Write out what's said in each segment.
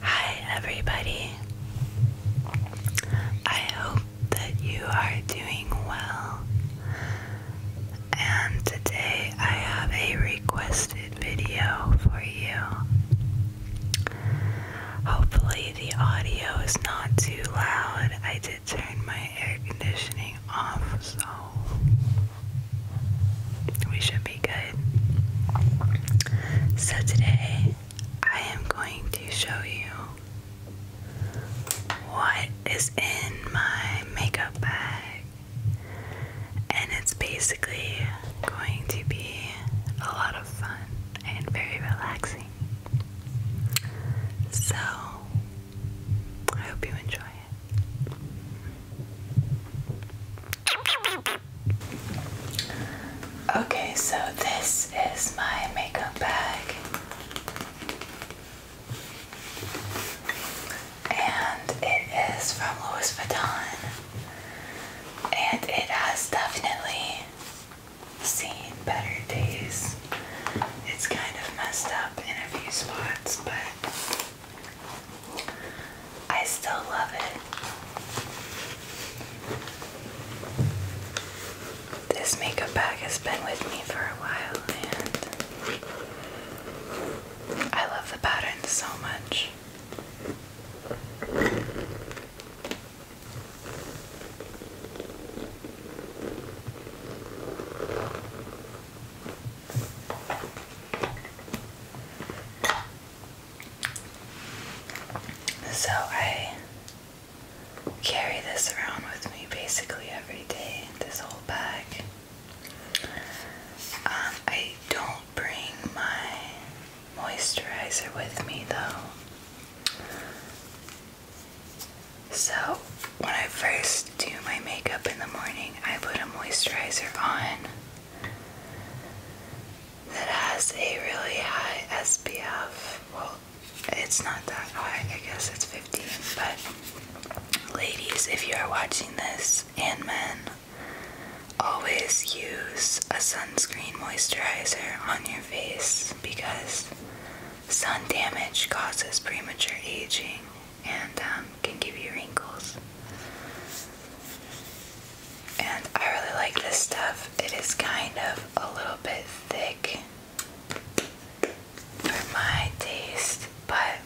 Hi, everybody. I hope that you are doing well. And today I have a requested video for you. Hopefully, the audio is not too loud. I did turn my air conditioning off, so we should be good. So, today I am going to show you what is in my makeup bag, and it's basically going to be a lot of fun and very relaxing. So, I hope you enjoy it. Okay, so this is my makeup bag. And it is from Louis Vuitton. And it has definitely seen better days. It's kind of messed up in a few spots, but I still love it. This makeup bag has been with me for a while and I love the pattern so much. So I carry this around with me basically every day, in this whole bag. Um, I don't bring my moisturizer with me though. So when I first do my makeup in the morning, I put a moisturizer on that has a really high SPF. Well, it's not that high, I guess it's 50. But, ladies, if you are watching this, and men, always use a sunscreen moisturizer on your face because sun damage causes premature aging and um, can give you wrinkles. And I really like this stuff. It is kind of a little bit thick for my taste, but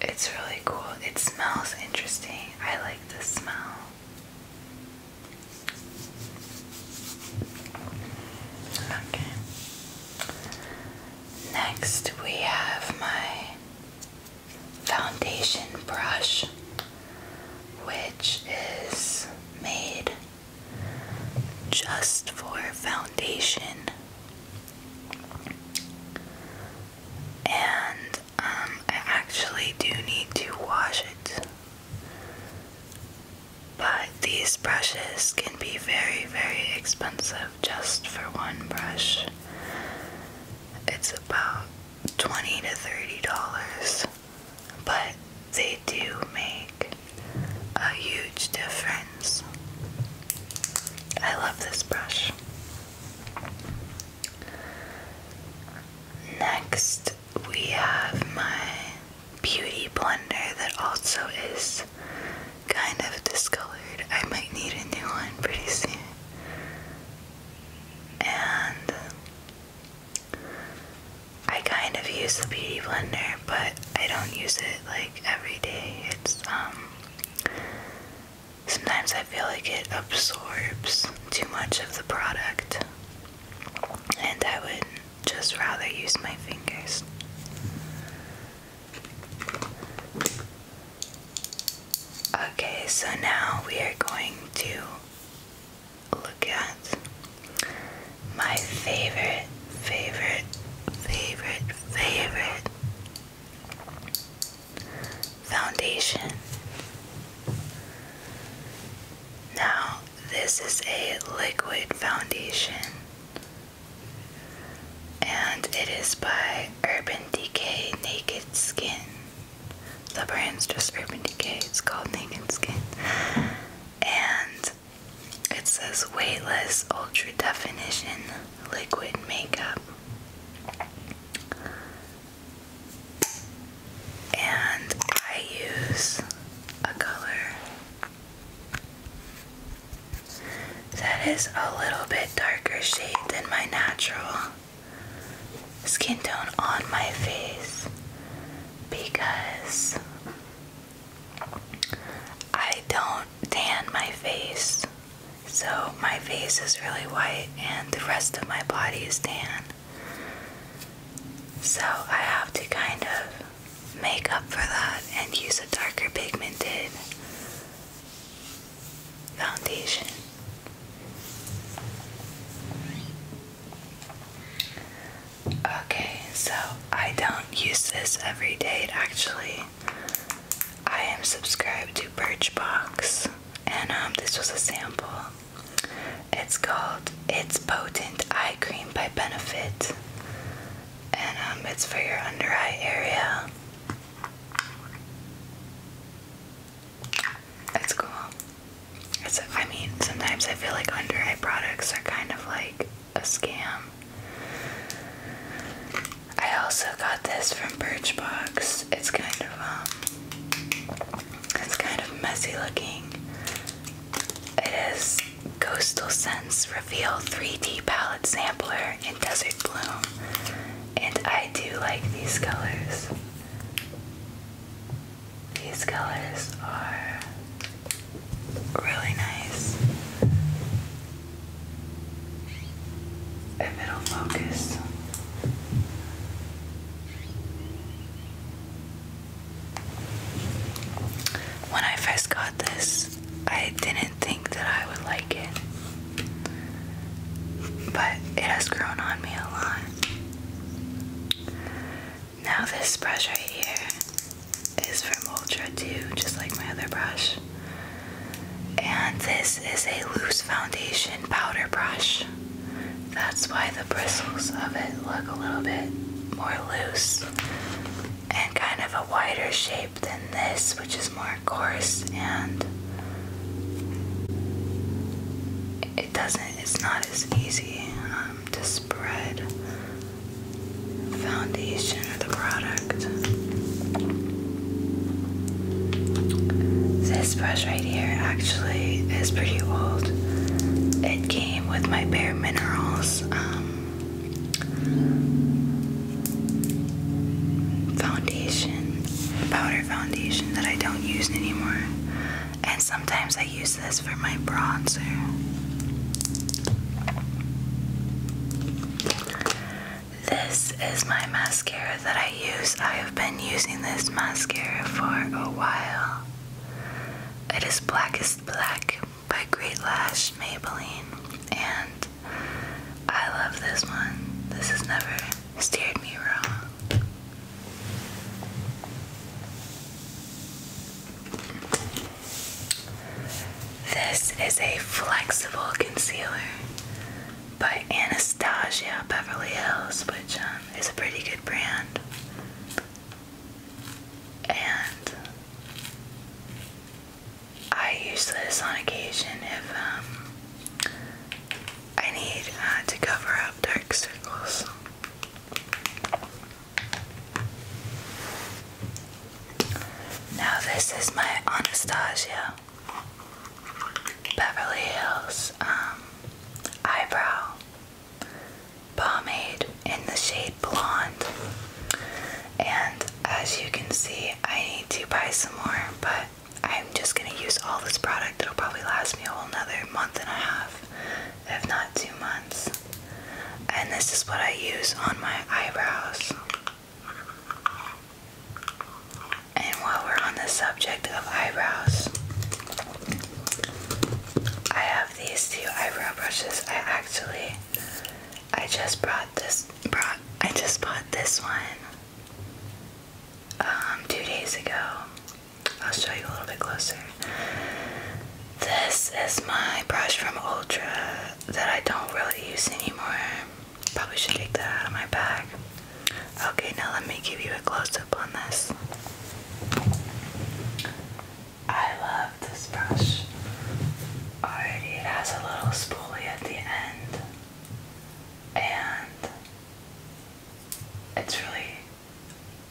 it's really cool. It smells interesting. I like the smell. Okay. Next, we have my foundation brush, which is made just for foundation. And um, I actually do need to wash it. But these brushes can be very, very expensive just for one brush. It's about 20 to 30 dollars, but they do make a huge difference. I love this brush. Next, we have my beauty blender that also is kind of discolored. I might need a new one pretty soon and I kind of use the beauty blender, but I don't use it like every day. It's um sometimes I feel like it absorbs too much of the product, and I would just rather use my fingers. Okay, so now we are going to look at my favorite, favorite, favorite, favorite foundation. Now, this is a liquid foundation and it is by Urban Decay Naked Skin. The brand's just Urban Decay, it's called Naked Skin. And it says Weightless Ultra Definition Liquid Makeup. And I use a color that is a little bit darker shade than my natural skin tone on my face because I don't tan my face. So my face is really white and the rest of my body is tan. So I have to kind of make up for that and use a darker pigmented foundation. Okay, so I don't use this every day actually. I am subscribed to Birchbox and um, this was a sample. It's called It's Potent Eye Cream by Benefit and um, it's for your under eye area. That's cool. I mean, sometimes I feel like under eye products are kind of like a scam. I also got this from Birchbox. It's kind of um, it's kind of messy looking. It is Coastal Scents Reveal 3D Palette Sampler in Desert Bloom. And I do like these colors. These colors are really nice. If it'll focus. When I first got this, I didn't think that I would like but it has grown on me a lot. Now, this brush right here is from Ultra Too, just like my other brush. And this is a loose foundation powder brush. That's why the bristles of it look a little bit more loose and kind of a wider shape than this, which is more more coarse and it doesn't it's not as easy um, to spread foundation of the product this brush right here actually is pretty old it came with my bare minerals um, foundation powder foundation that I don't use anymore. And sometimes I use this for my bronzer. This is my mascara that I use. I have been using this mascara for a while. It is Blackest Black by Great Lash Maybelline. And I love this one. This has never steered me wrong. This is a flexible concealer by Anastasia Beverly Hills, which um, is a pretty good brand. And I use this on occasion if um, I need uh, to cover up dark circles. Now this is my Anastasia Beverly Hills um, eyebrow pomade in the shade blonde. And as you can see, I need to buy some more, but I'm just gonna use all this product. It'll probably last me a whole another month and a half, if not two months. And this is what I use on my eyebrows. And while we're on the subject of eyebrows, I have these two eyebrow brushes. I actually I just brought this I just bought this one um, two days ago. I'll show you a little bit closer. This is my brush from Ultra that I don't really use anymore. Probably should take that out of my bag. Okay, now let me give you a close up on this. I love this brush. Already, it has a little spoolie at the end, and it's really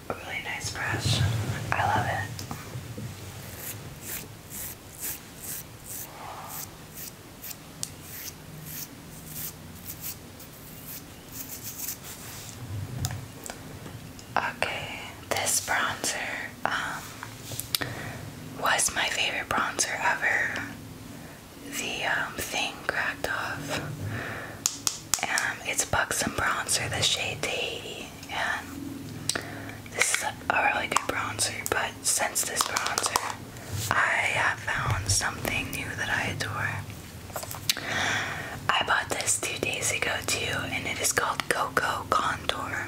really nice brush. I love it. Okay, this bronzer um was my favorite bronzer ever the um, thing cracked off. Um, and it's Buxom Bronzer, the shade to And this is a really good bronzer, but since this bronzer, I have found something new that I adore. I bought this two days ago too, and it is called Coco Contour.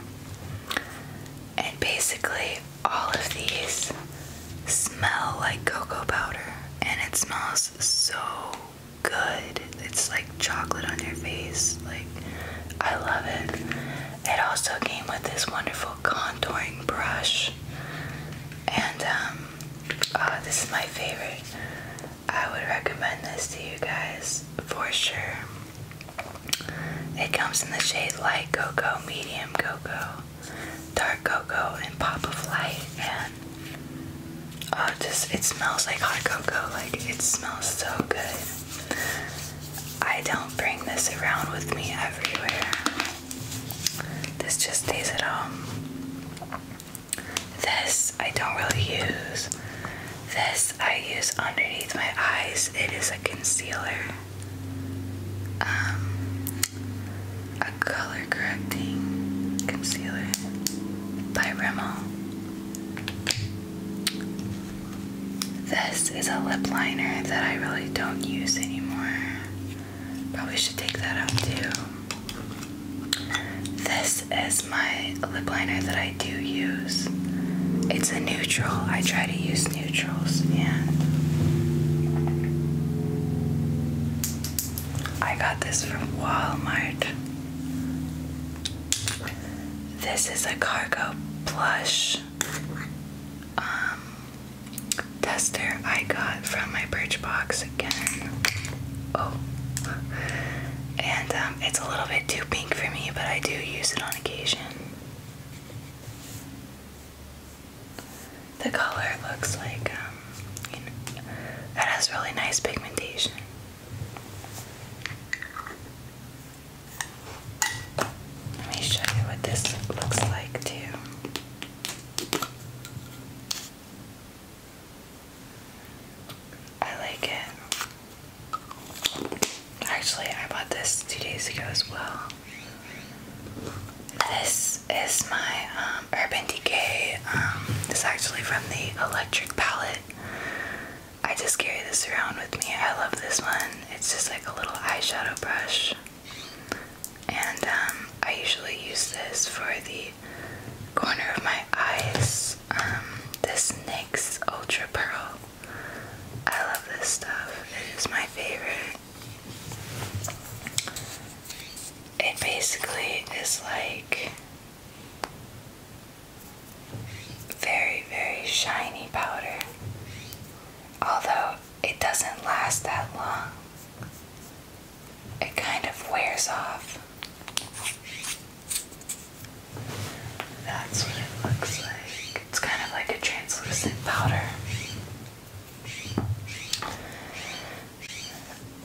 And basically, all of these smell like cocoa powder and it smells so good. It's like chocolate on your face. Like, I love it. It also came with this wonderful contouring brush. And, um, uh, this is my favorite. I would recommend this to you guys for sure. It comes in the shade light cocoa, medium cocoa, dark cocoa and pop of light and uh, just it smells like hot cocoa like it smells so good I don't bring this around with me everywhere this just stays at home this I don't really use this I use underneath my eyes it is a concealer um, a color correcting concealer by Rimmel. This is a lip liner that I really don't use anymore. Probably should take that out too. This is my lip liner that I do use. It's a neutral. I try to use neutral. I got this from Walmart. This is a cargo plush um, tester I got from my Birchbox again. Oh, and um, it's a little bit too pink for me, but I do use it on occasion. The color looks like um, you know, it has really nice pigmentation. Let me show you what this looks like too. I like it. Actually, I bought this two days ago as well. This is my um, Urban Decay. Um, this is actually from the Electric Palette. I just carry this around with me. I love this one. It's just like a little eyeshadow brush. And um, I usually use this for the corner of my eyes. this NYX Ultra Pearl. I love this stuff. It is my favorite. It basically is like very, very shiny powder, although it doesn't last that long. It kind of wears off. That's what it looks like. It's kind of like a translucent powder.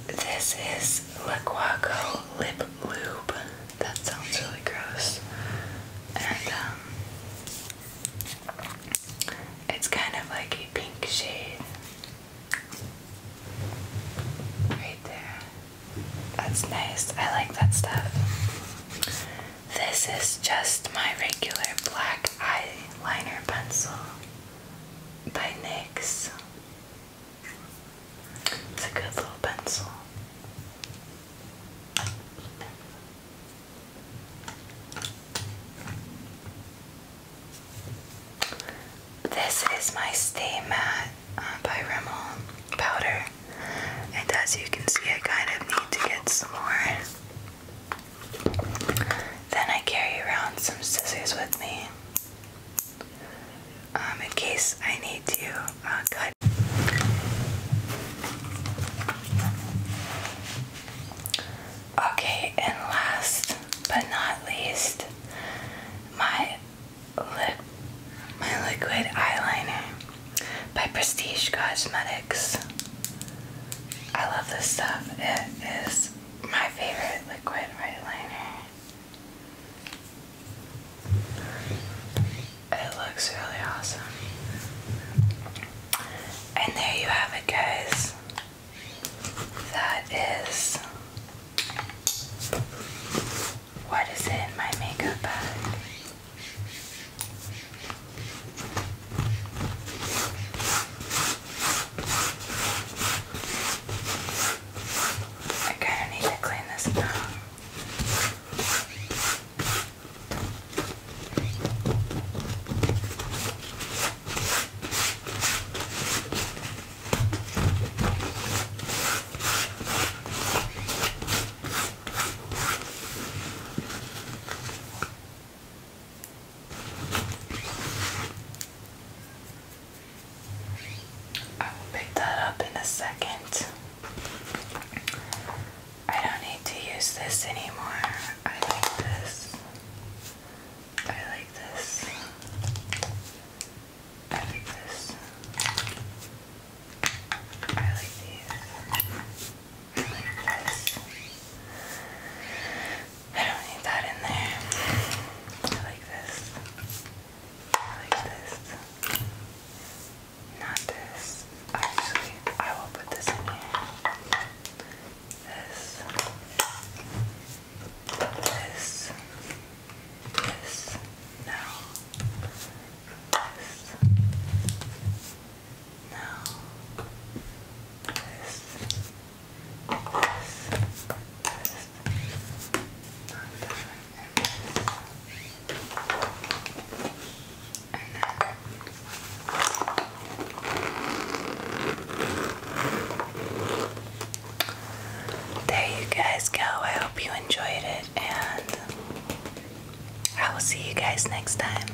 This is Laquaco Lip Lube. That sounds really gross. And um it's kind of like a pink shade. Right there. That's nice. I like that stuff. This is just my regular black eyeliner pencil by NYX. It's a good little pencil. This is my Stay Matte uh, by Rimmel powder, and as you can see, I kind of need to get some more. Then I carry around some scissors with me um, in case I need to uh, cut. Okay, and last but not least, my li my liquid eyeliner by Prestige Cosmetics. I love this stuff. It is my favorite liquid right liner. It looks really awesome. And there you have it, guys. That is what is in my makeup bag. I kind of need to clean this up. I will pick that up in a second. I don't need to use this anymore. I like this. I like this. I like this. I like this. I don't need that in there. I like this. I like this. Not this. Actually, I will put this in here. This. This. This. No. This. No. This. There you guys go. I hope you enjoyed it, and I will see you guys next time.